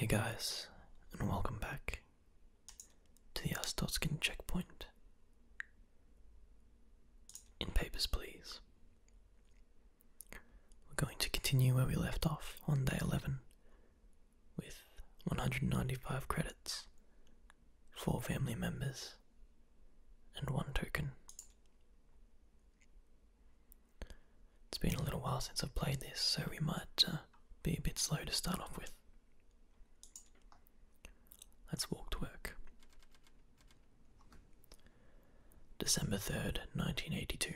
Hey guys, and welcome back to the Astotskin checkpoint. In Papers, Please. We're going to continue where we left off on day 11 with 195 credits, 4 family members, and 1 token. It's been a little while since I've played this, so we might uh, be a bit slow to start off with. Let's walk to work. December 3rd, 1982.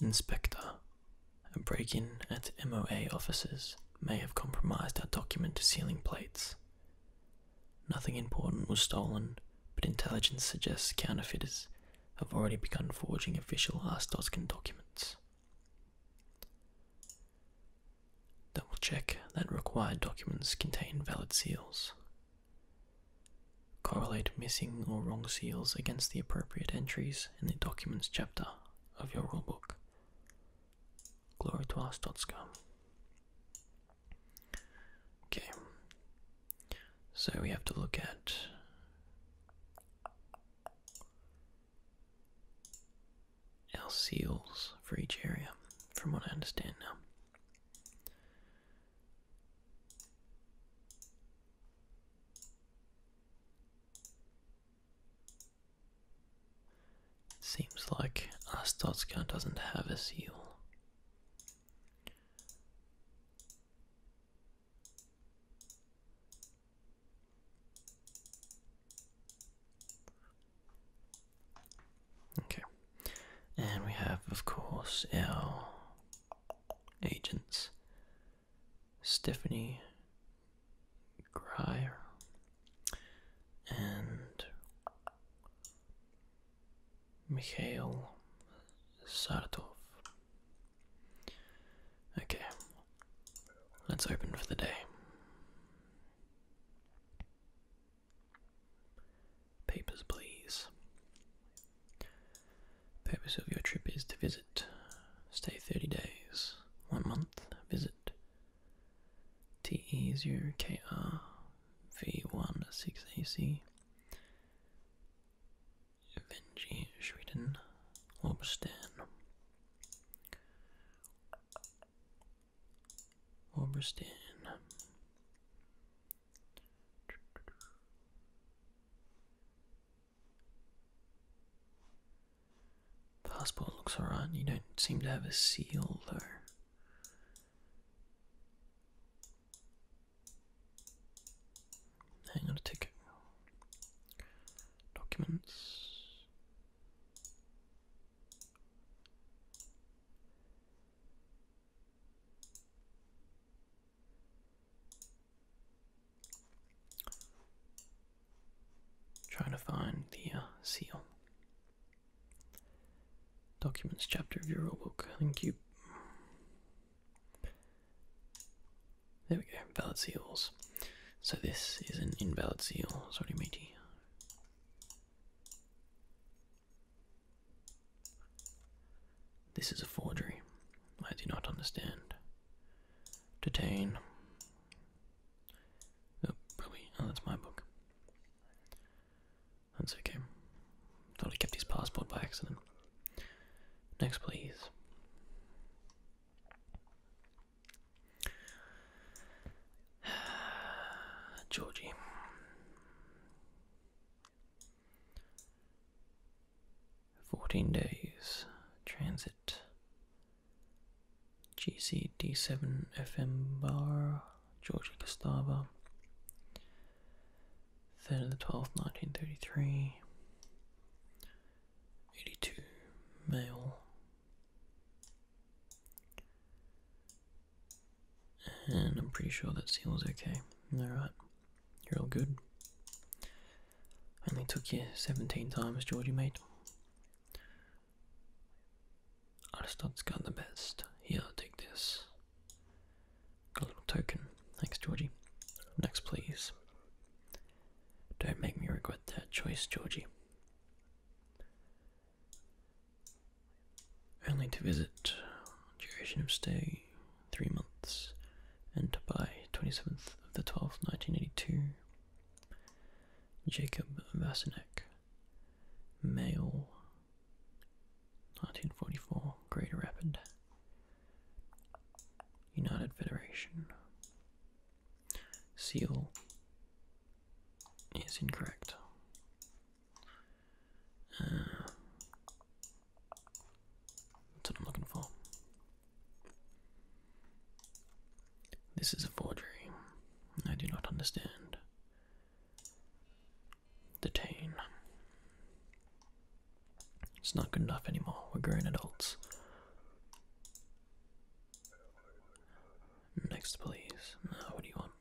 Inspector, a break in at MOA offices may have compromised our document sealing plates. Nothing important was stolen, but intelligence suggests counterfeiters have already begun forging official Astoskin documents. Double check that required documents contain valid seals. Correlate missing or wrong seals against the appropriate entries in the Documents chapter of your rulebook. Glory to our Stotska. Okay, so we have to look at our seals for each area, from what I understand now. Seems like Astotska doesn't have a seal. Okay. And we have, of course, our agents. Stephanie Grier and Mikhail Sartov. Okay, let's open for the day. Papers, please. The purpose of your trip is to visit. Stay 30 days. One month. Visit. TE0KR V16AC. Venji, Sweden. Orbstan. Orbstan. Passport looks alright. You don't seem to have a seal though. Hang on a ticket. Documents. Trying to find the uh, seal. Documents chapter of your rulebook. Thank you. There we go. Valid seals. So this is an invalid seal. Sorry, matey. This is a forgery. I do not understand. Detain. Oh, probably. Oh, that's my book. That's okay. Thought he kept his passport by accident. Next, please. Georgie. 14 days transit GCD7 FM bar Georgia Gustava 3rd of the 12th 1933 82 male and I'm pretty sure that seal's okay alright you're all good. Only took you 17 times, Georgie, mate. Aristotle's got the best. Here, take this. Got a little token. Thanks, Georgie. Next, please. Don't make me regret that choice, Georgie. Only to visit. Duration of stay three months, and by 27th of the 12th, 1982, Jacob Vasinek, male, 1944, Greater Rapid, United Federation. Seal is incorrect. Uh, that's what I'm looking for. This is a forgery. I do not understand. Detain. It's not good enough anymore. We're grown adults. Next, please. Now, what do you want?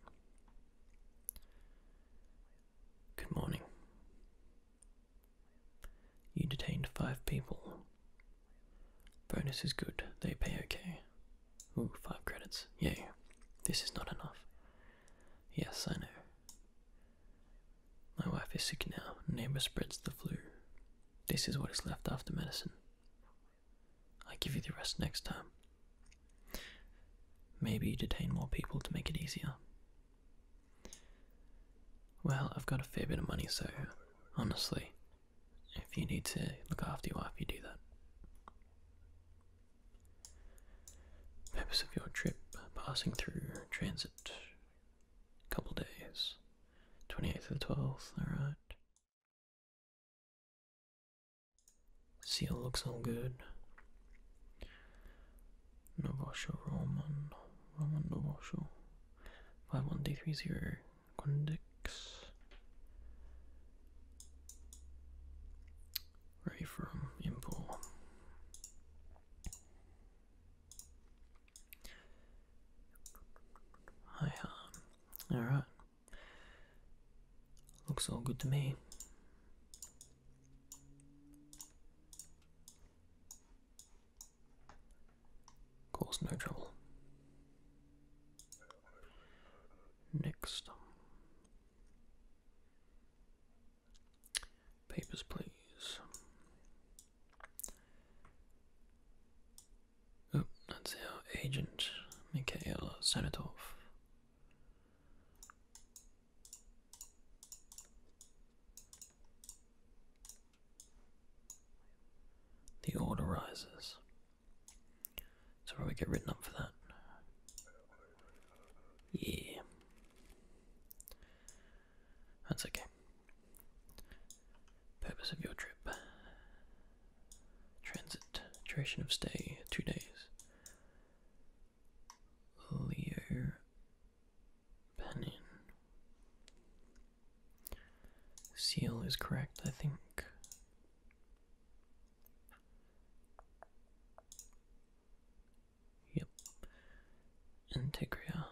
Good morning. You detained five people. Bonus is good, they pay okay. Ooh, five credits. Yay. This is not enough. Yes, I know. My wife is sick now. Neighbor spreads the flu. This is what is left after medicine. I give you the rest next time. Maybe you detain more people to make it easier. Well, I've got a fair bit of money, so honestly, if you need to look after your wife, you do that. Purpose of your trip passing through transit. Couple days. 28th to the 12th, alright. Seal looks all good. Novosho Roman, Roman Novosho, five one 51330, Quindix. Ray from Impo. Hi, um, alright. Looks all good to me. Cause no trouble. Next. Papers, please. Oh, that's our agent, Mikhail Sanatov. The order rises. So we get written up for that? Yeah. That's okay. Purpose of your trip. Transit. Duration of stay, two days. Leo Benin. Seal is correct, I think. Yep. Integria.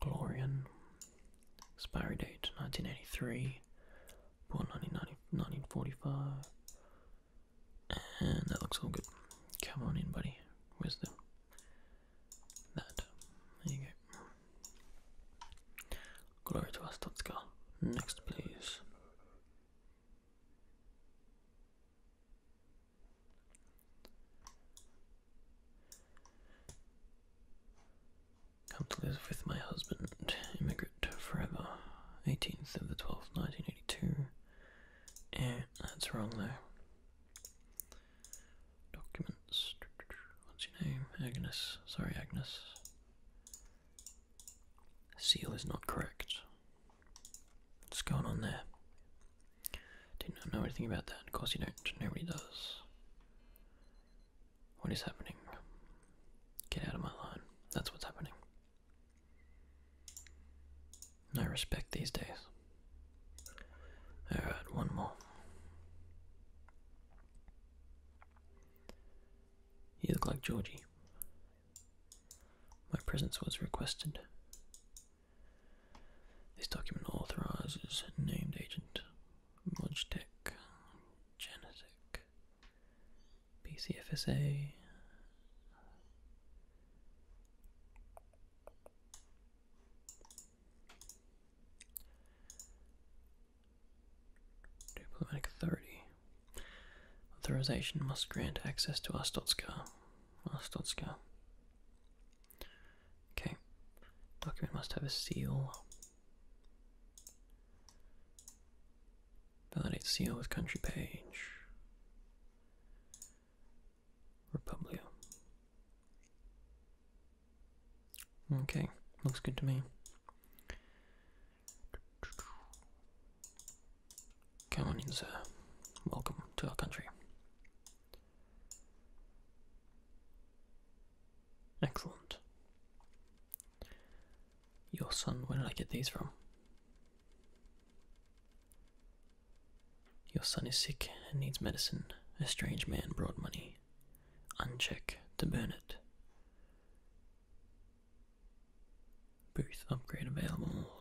Glorian. Expiry date 1983 born and that looks all good. Come on in, buddy. Where's the that? There you go. Glory to us, Totska. Next, please. Come to live with my husband, immigrant forever. 18th of the 12th, 1982. Yeah, that's wrong there. Documents. What's your name? Agnes. Sorry, Agnes. Seal is not correct. What's going on there? Didn't know anything about that. Of course you don't. Nobody does. What is happening? Get out of my line. That's what's happening. No respect these days. Alright, one more. You look like Georgie. My presence was requested. This document authorizes named agent Logitech Genetech PCFSA. Diplomatic authority. Authorization must grant access to Dot Astotska. Astotska. Okay. Document must have a seal. Validate seal with country page. Republio. Okay, looks good to me. Come on in, sir. Uh, welcome to our country. Excellent. Your son, where did I get these from? Your son is sick and needs medicine. A strange man brought money. Uncheck to burn it. Booth upgrade available.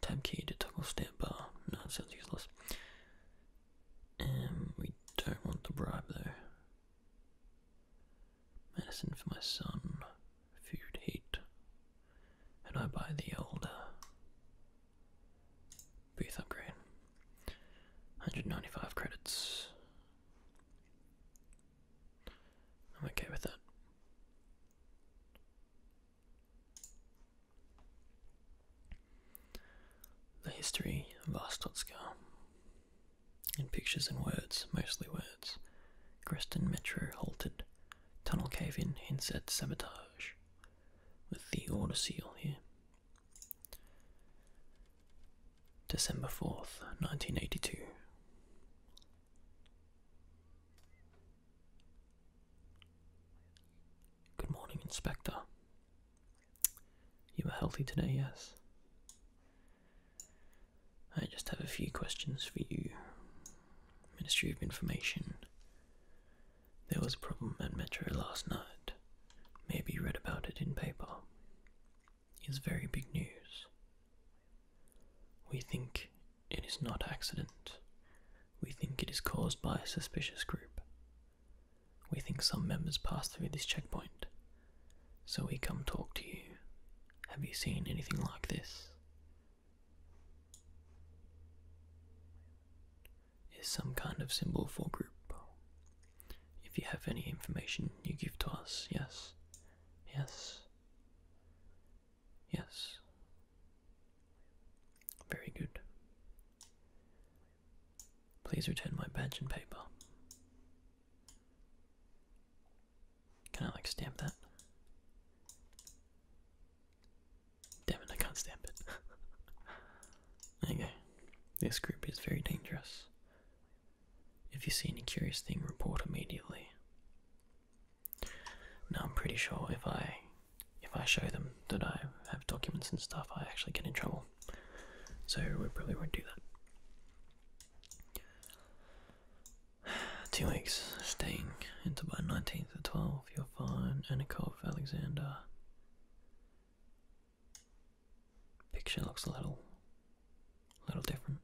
Tab key to toggle stamp bar. No, it sounds useless. Um, we don't want the bribe there. Medicine for my son, food heat, and I buy the older. uh, booth upgrade. 195 credits. I'm okay with that. The history of Vostotska. In pictures and words, mostly words, Greston Metro halted. Tunnel cave in, hints sabotage. With the order seal here. December 4th, 1982. Good morning, Inspector. You are healthy today, yes? I just have a few questions for you. Ministry of Information. There was a problem at Metro last night. Maybe you read about it in paper. It's very big news. We think it is not accident. We think it is caused by a suspicious group. We think some members passed through this checkpoint so we come talk to you. Have you seen anything like this? Is some kind of symbol for group. If you have any information you give to us, yes, yes, yes. Very good. Please return my badge and paper. Can I like stamp that? Damn it, I can't stamp it. there you go. This group is very dangerous. If you see any curious thing, report immediately. Now I'm pretty sure if I if I show them that I have documents and stuff, I actually get in trouble. So we probably won't do that. Two weeks staying until by 19th or 12th, you're fine. Anikov Alexander. Picture looks a little, little different.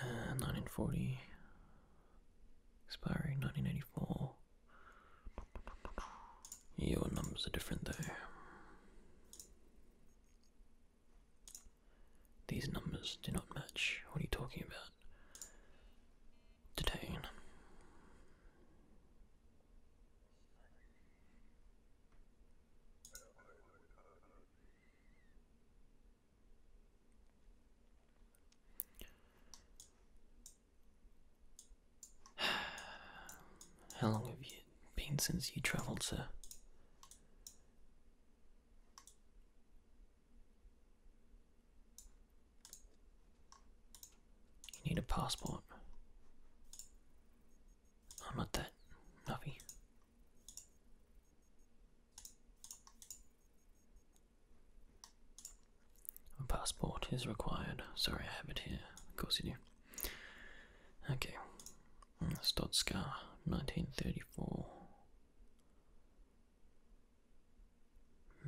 1940. Uh, Expiry 1984. Your numbers are different though. These numbers do not match. What are you talking about? Detain. How long have you been since you travelled, sir? You need a passport. I'm not that nuffy. A passport is required. Sorry, I have it here. Of course you do. Okay, Stotska, 1934.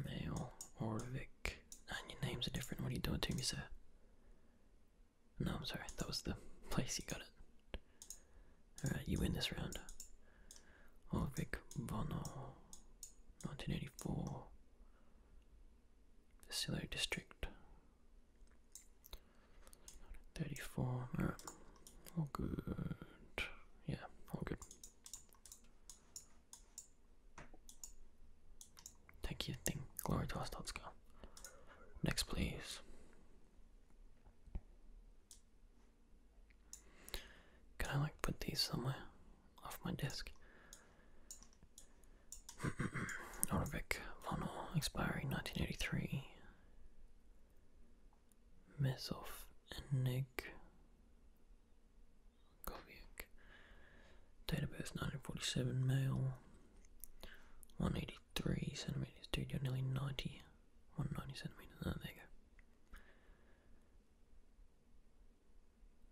Male, Orvik. And your names are different. What are you doing to me, sir? No, I'm sorry. That was the place you got it. Alright, you win this round. Orvik Bono, 1984. Silo District. 34, all right, all good, yeah, all good. Thank you, thing, glory to us, let's go. Next, please. Can I like put these somewhere off my desk? Orvik Vonor, expiring 1983. Mesov Enig Koviak. Date of birth 1947, male. 183 centimeters, dude, you're nearly 90. 190 centimeters, oh, there you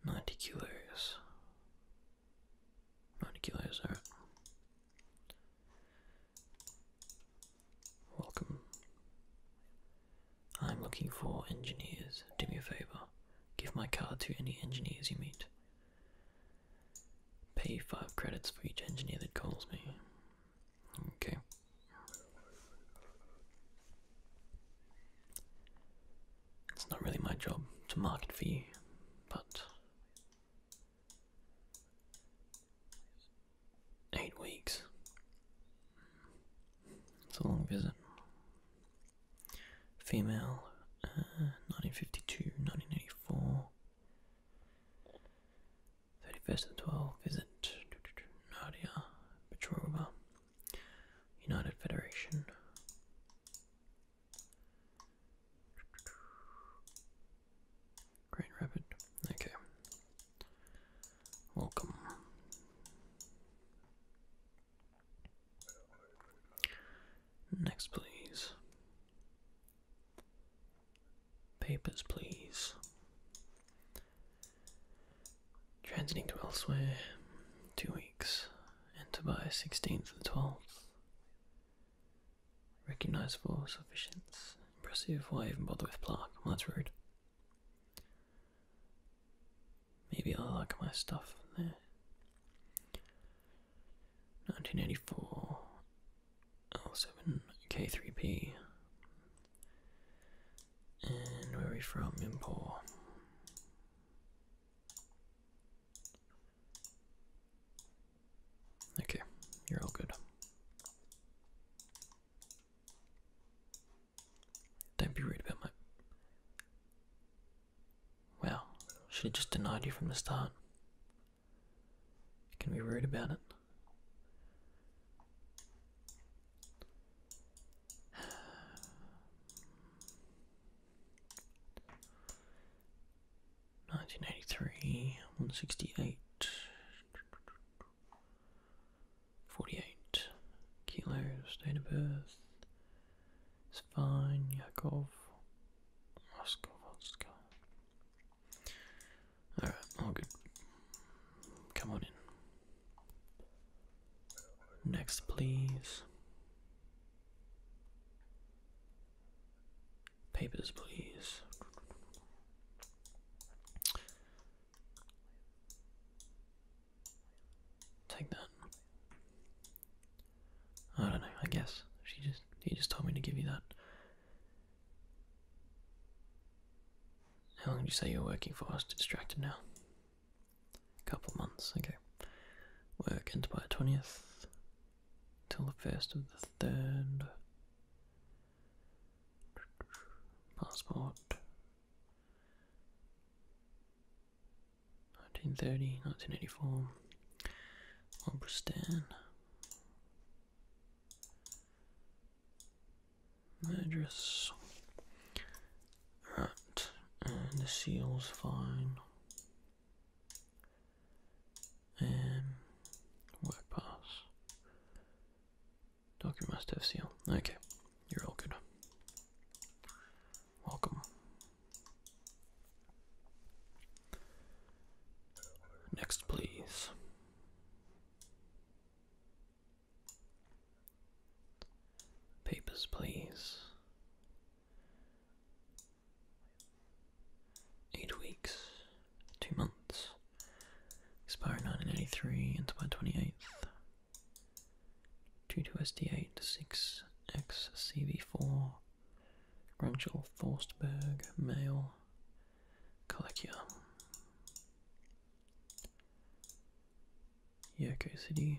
go. 90 kilos. Monocules, alright. Welcome. I'm looking for engineers. Do me a favor. Give my card to any engineers you meet. Pay five credits for each engineer that calls me. Okay. It's not really my job to market for you, but Eight weeks. It's a long visit. Female, uh, 1952, 1984. 31st of the 12th, visit Nadia Petrova, United Federation. Great Rabbit. Okay. Welcome. Next, please. Papers, please. Transiting to elsewhere. Two weeks. Enter by 16th and 12th. Recognizable, for Impressive. Why even bother with plaque? Well, that's rude. Maybe I like my stuff there. 1984 L7 K3P. And where are we from? Impor. Okay, you're all good. Don't be rude about my. Well, should have just denied you from the start. You can be rude about it. 1983, 168, 48 kilos, date of birth, fine, Yakov, Moscow, Moscow. Alright, all good. Come on in. Next, please. Papers, please. Take that. I don't know, I guess. She just he just told me to give you that. How long did you say you were working for? I was distracted now. A couple months, okay. Work end by twentieth till the first of the third. Passport. 1930, 1984. Obristan. Address. Right, and the seal's fine. Um, work pass. Doctor must have seal. Okay, you're all good. Welcome. Next, please. Papers, please. Eight weeks, two months, expire 1983 until my 28th. 22SD8, 6XCV4, Grunchel Forstberg, male, Kalekia. Yoko City.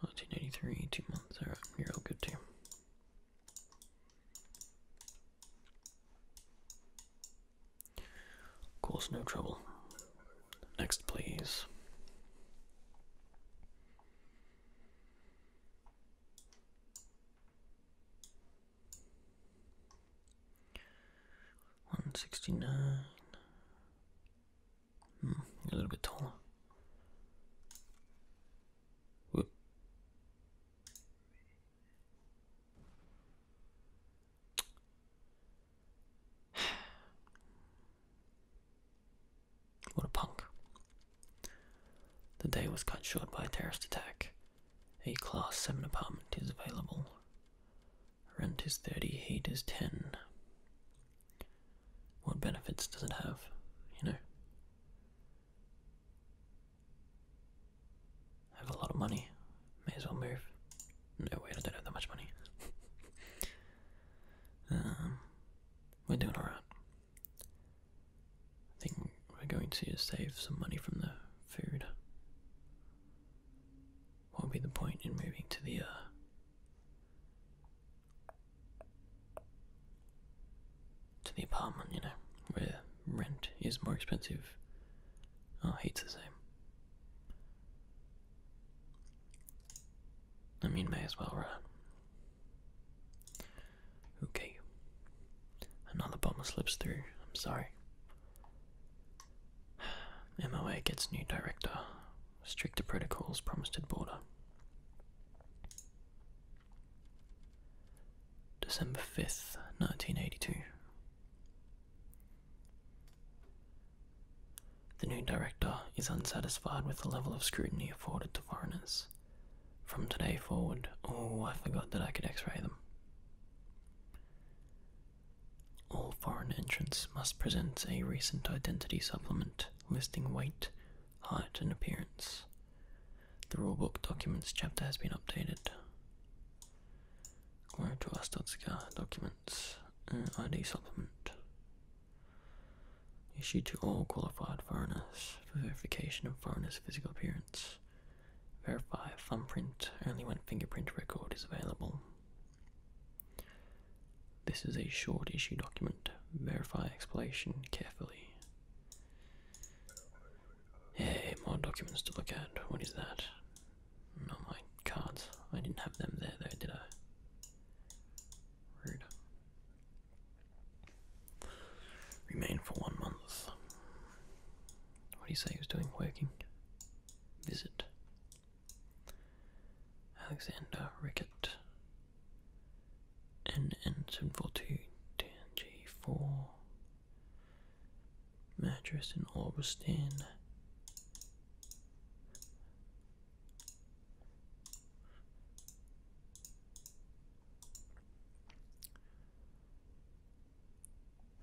1983, two months. Alright, you're all good too. Of course, no trouble. Next, please. One sixty nine, a little bit taller. Whoop. What a punk. The day was cut short by a terrorist attack. A Class 7 apartment is available. Rent is 30, heat is 10 what benefits does it have, you know? I have a lot of money, may as well move. No, wait, I don't have that much money. um, we're doing alright. I think we're going to save some money from the food what would be the point in moving to the uh, to the apartment, you know, where rent is more expensive. Oh, heat's the same. I mean, may as well, right? Okay. Another bomber slips through. I'm sorry. MOA gets new director. Stricter protocols promised at border. December 5th, 1982. The new director is unsatisfied with the level of scrutiny afforded to foreigners. From today forward, oh, I forgot that I could x ray them. All foreign entrants must present a recent identity supplement listing weight, height, and appearance. The rulebook documents chapter has been updated. Glory to us. Documents uh, ID supplement issued to all qualified foreigners for verification of foreigners' physical appearance. Verify thumbprint only when fingerprint record is available. This is a short issue document. Verify explanation carefully. Hey, more documents to look at. What is that? Not my cards. I didn't have them there though, did I? Rude. Remain for one month. What do you say he was doing? Working? Visit. Alexander Rickett, N NN742-G4, mattress in Orbistan,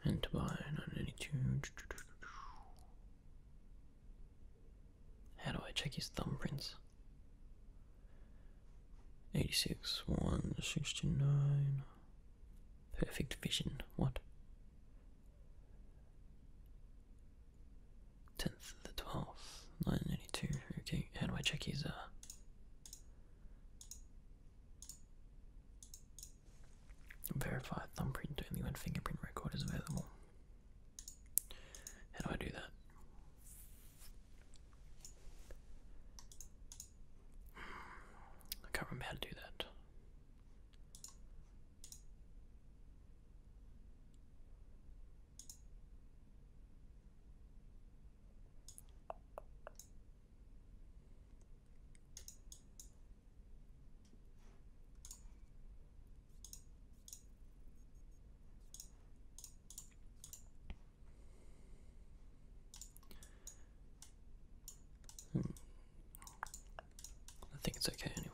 and to buy 982. How do I check his thumbprints? 86, 169. Perfect vision. What? 10th, the 12th, 982. Okay, how do I check his, uh. Verify thumbprint, only when fingerprint record is available. How do I do that? I can't remember how to do that. Hmm. I think it's okay anyway.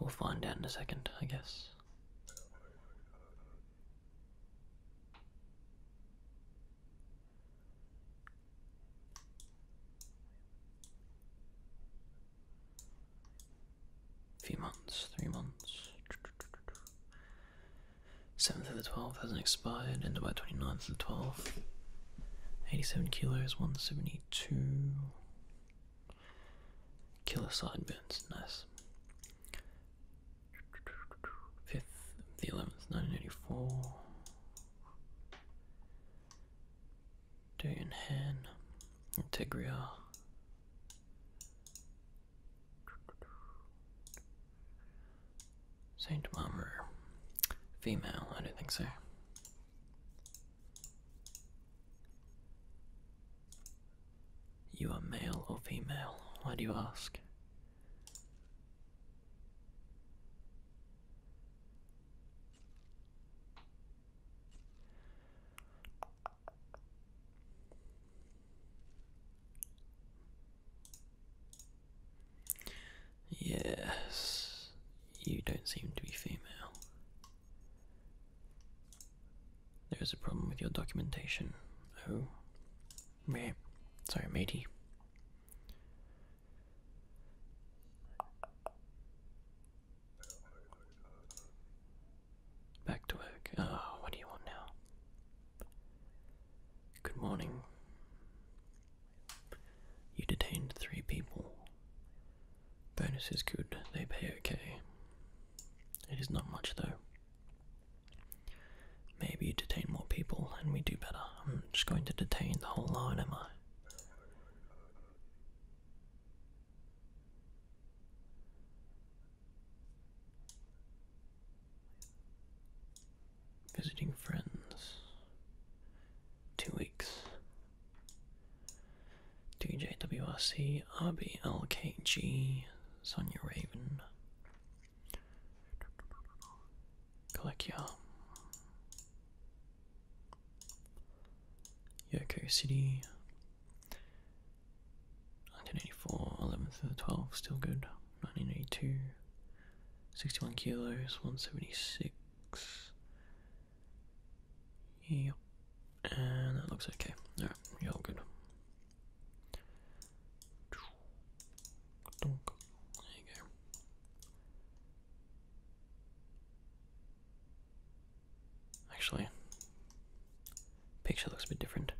We'll find out in a second, I guess few months, three months. 7th of the 12th hasn't expired, and by 29th of the 12th. 87 kilos, 172. Killer sideburns, nice. 5th of the 11th, 1984. Dainhan, Integria. Saint Mummer. Female, I don't think so. You are male or female? Why do you ask? Yes, you don't seem to be female. There is a problem with your documentation. Oh, me? Sorry, matey. Back to work. Oh, what do you want now? Good morning. You detained three people. Bonus is good, they pay okay. It is not much though. Maybe you detain more people and we do better. I'm just going to detain the whole line, am I? Visiting friends. Two weeks. D J W R C R B L K G RBLKG, Sonia Raven, Colecia, Yoko City. 1984, 11th to the 12th, still good. 1982, 61 kilos, 176. Yep, and that looks okay. Alright, you're all good. There you go. Actually, picture looks a bit different.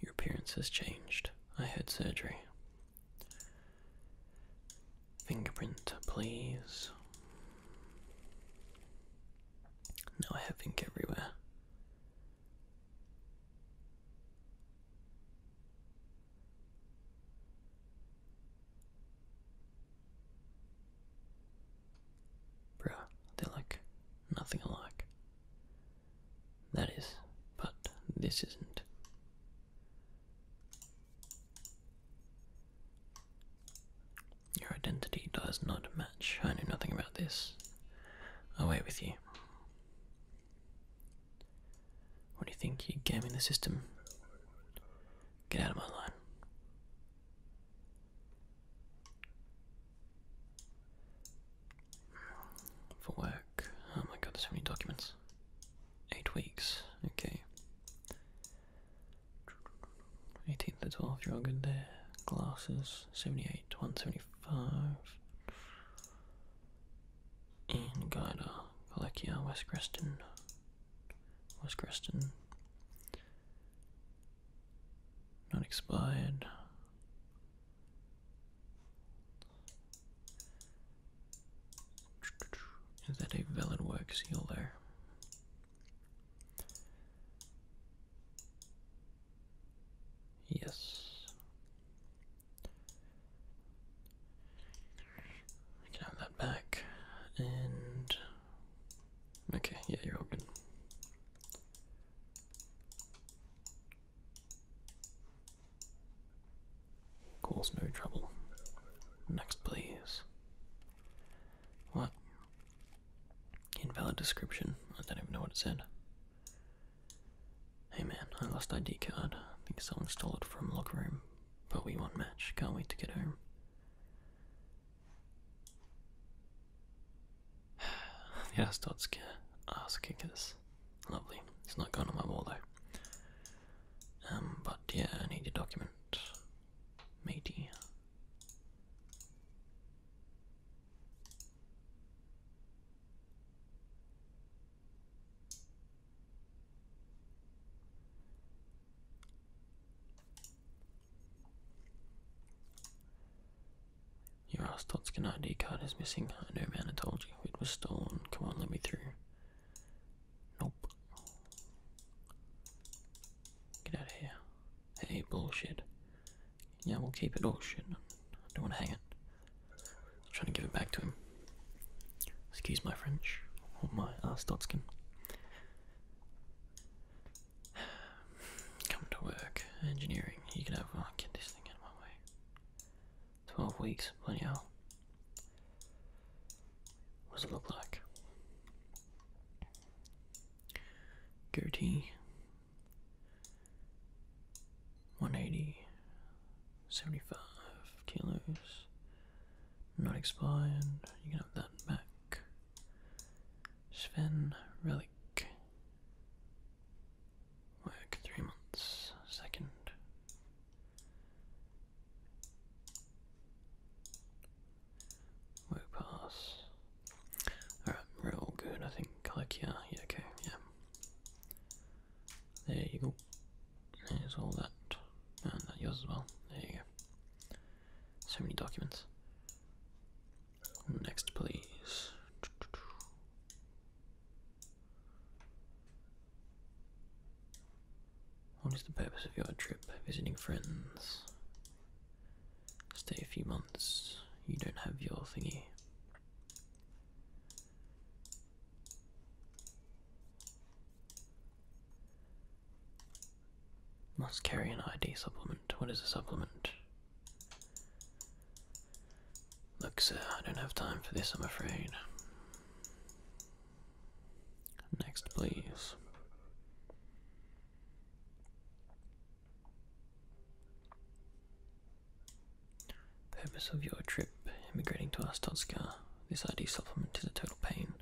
Your appearance has changed. I had surgery. Fingerprint, please. Now I have ink everywhere. Bruh, they're like nothing alike. That is, but this isn't. Your identity does not match. I know nothing about this. Away with you. What do you think, you gaming the system? Get out of my line. For work. Oh my god, there's so many documents. Eight weeks. Okay. 18th to 12 you're all good there. Glasses, 78 to 175. In Guida, West Creston was Creston. Not expired. Is that a valid work seal there? Yes. We that back, and okay, yeah, you're all good. Cause no trouble. Next, please. What? Invalid description. I don't even know what it said. Hey man, I lost ID card. I think someone stole it from locker room. But we won't match. Can't wait to get home. the ass dots care. Ass kickers. Lovely. It's not going on my wall though. Um, but yeah, I need your document. Matey. Your Ostotskin ID card is missing. I know, man, I told you. It was stolen. Come on, let me through. Nope. Get out of here. Hey, bullshit. Yeah, we'll keep it. all. Oh, shit. I don't want to hang it. trying to give it back to him. Excuse my French, or my Arstotskin. Uh, Come to work, engineering. You can have. Oh, get this thing out of my way. Twelve weeks, bloody hell. What does it look like? Gertie. 180 75 kilos. Not expired. You can have that back. Sven Relic. Work three months. Second. Work pass. Alright, we're all good, I think. Like, yeah, yeah, okay, yeah. There you go. There's all that. And that yours as well. There you go. So many documents. Next, please. What is the purpose of your trip? Visiting friends. Stay a few months. You don't have your thingy. Must carry an ID supplement. What is a supplement? Look, sir, I don't have time for this, I'm afraid. Next, please. Purpose of your trip, immigrating to Astotska. This ID supplement is a total pain.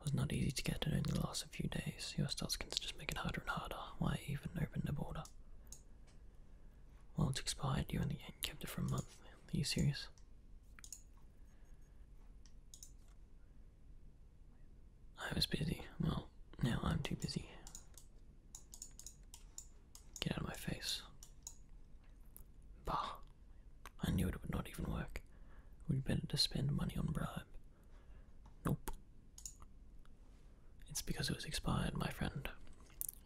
It was not easy to get and only lasts a few days. Your Stelskin's just make it harder and harder. Why even open the border? Well, it's expired, you only kept it for a month. Are you serious? I was busy. Well, now I'm too busy. Get out of my face. Bah. I knew it would not even work. It would be better to spend money on bribe. Nope. It's because it was expired, my friend.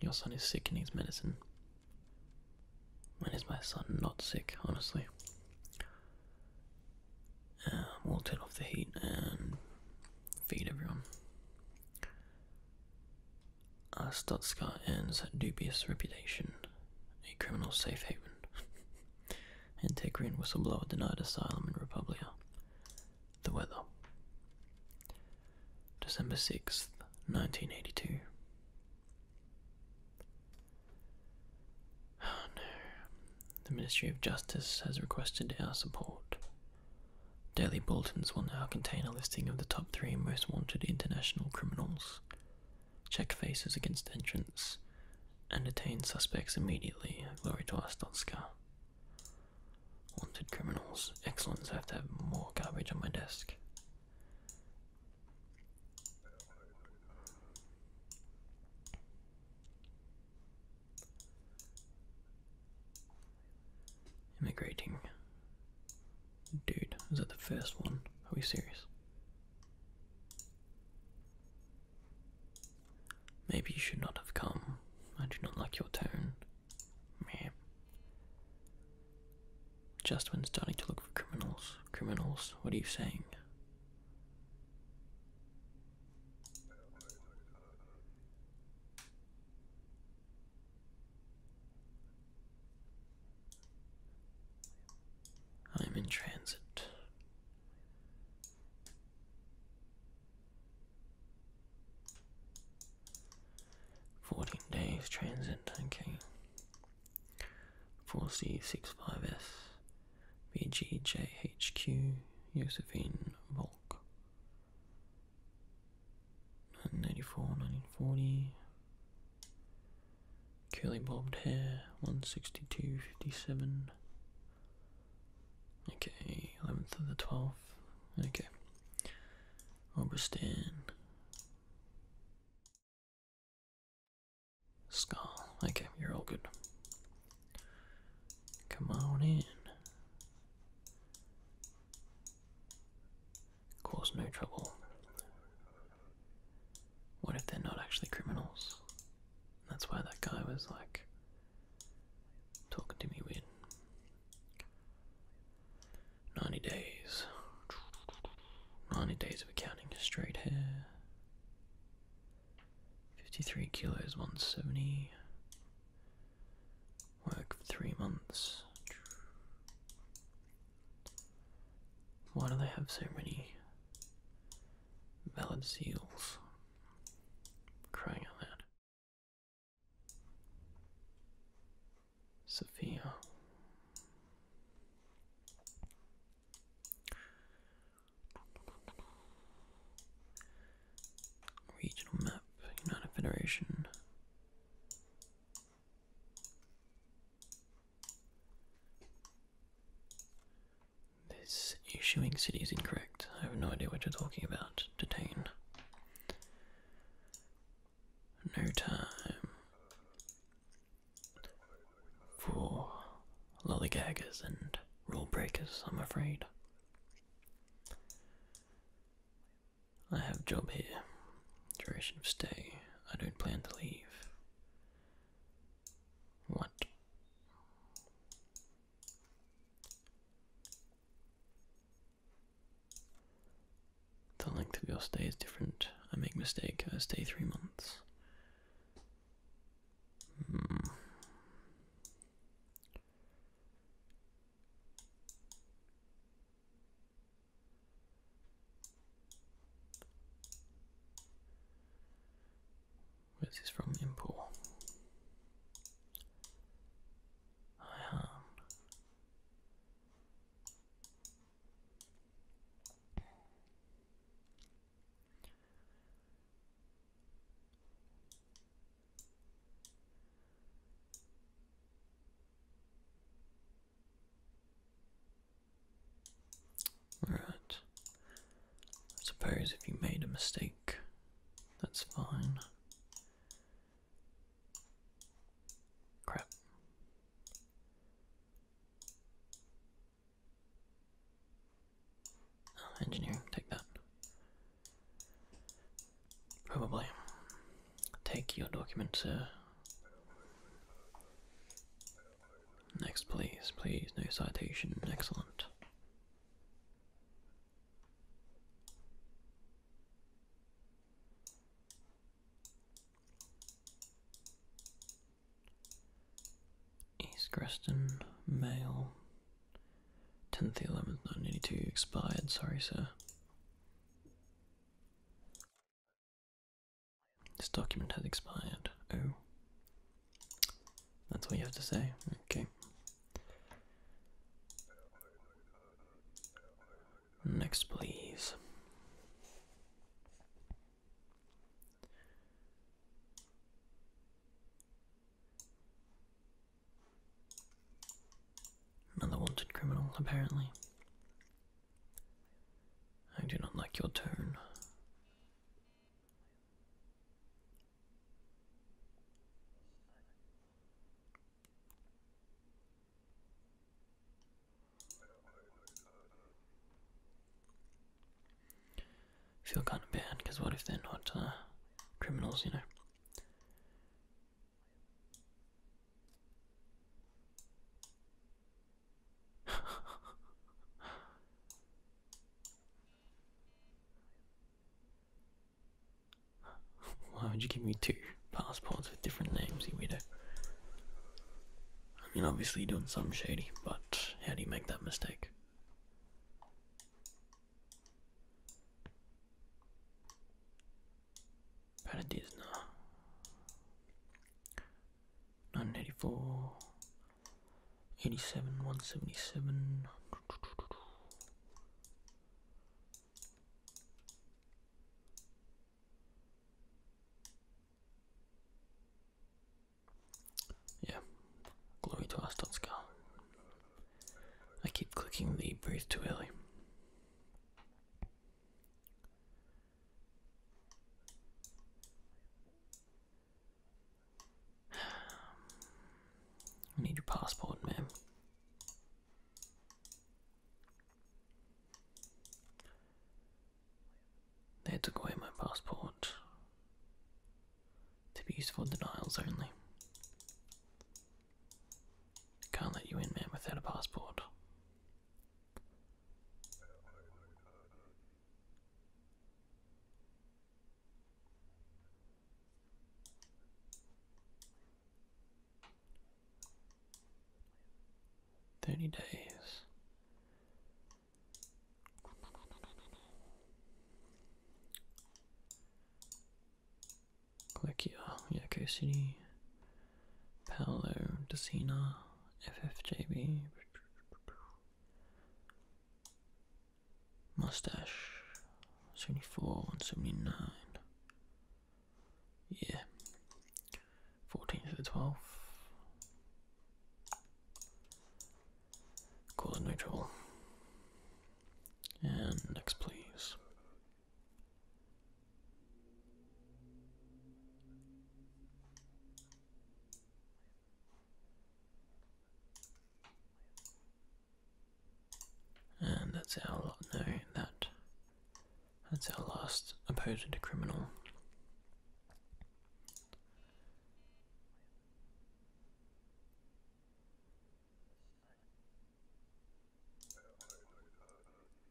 Your son is sick and needs medicine. When is my son not sick, honestly? Um, we'll turn off the heat and feed everyone. Uh, Stutzgart earns dubious reputation, a criminal safe haven. Antiquarian whistleblower denied asylum in Republica. The weather. December 6th, 1982. Oh no. The Ministry of Justice has requested our support. Daily bulletins will now contain a listing of the top three most wanted international criminals check faces against entrance, and detain suspects immediately. Glory to us, Donska. Wanted criminals. Excellent, I have to have more garbage on my desk. Immigrating. Dude, is that the first one? Are we serious? Maybe you should not have come. I do not like your tone. Meh. Just when starting to look for criminals. Criminals, what are you saying? I'm in transit. Fourteen days transit, okay. Four C six five S Josephine Volk. 1984, 1940, Curly bobbed hair, 162.57. Okay, 11th of the 12th. Okay. Oberstan. Skull. Okay, you're all good. Come on in cause no trouble. What if they're not actually criminals? That's why that guy was like talking to me weird. 90 days. 90 days of accounting, straight hair. 53 kilos, 170. Work for three months. Why do they have so many valid seals? Crying out loud. Sophia. Regional map, United Federation. This issuing city is incorrect. I have no idea what you're talking about. Detain. No time for lollygaggers and rule breakers, I'm afraid. I have job here. Duration of stay. I don't plan to leave. What? The length of your stay is different. I make mistake. I stay three months. Hmm. Where's this from? Import. I am. Right. I suppose if you made a mistake, that's fine. Crap. engineering, take that. Probably take your document, sir. Next, please, please, no citation. Excellent. East Greston, male. 10th, 11th, 1982, expired, sorry, sir. This document has expired. Oh. That's all you have to say. Okay. Next, please. Another wanted criminal, apparently. I do not like your tone. feel kind of bad because what if they're not uh, criminals, you know? Why would you give me two passports with different names, you weirdo? I mean, obviously you're doing something shady, but how do you make that mistake? Paradisna. 984. 87, 177. Yeah, glory to Astotska. I keep clicking the breathe too early. I need your passport, ma'am. They took away my passport to be used for denials only. Can't let you in, ma'am, without a passport. Thirty days. Click here, yeah, okay, Paolo Desina, FFJB, Mustache, 74 and 79. Yeah, 14th to the twelve, Cause no neutral, And next, please. And that's our No, that. That's our last opposed criminal.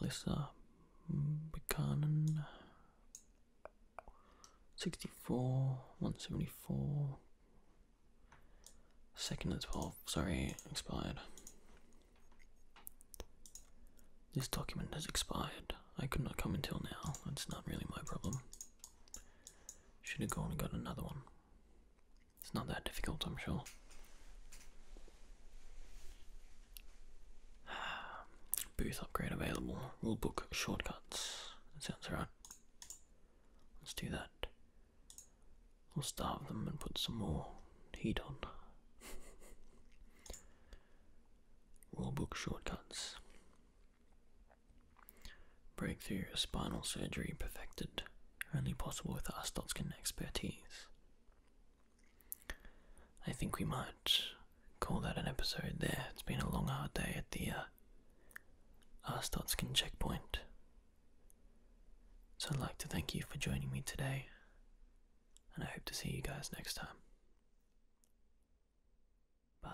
Lissa mm, Buchanan, 64, one seventy-four. Second and 12, sorry, expired. This document has expired. I could not come until now. That's not really my problem. Should have gone and got another one. It's not that difficult, I'm sure. Booth upgrade available. Rulebook shortcuts. That sounds right. Let's do that. We'll starve them and put some more heat on. Rulebook shortcuts. Breakthrough spinal surgery perfected. Only possible with our Arstotkin expertise. I think we might call that an episode there. It's been a long, hard day at the uh, Arstotskin checkpoint. So I'd like to thank you for joining me today, and I hope to see you guys next time. Bye.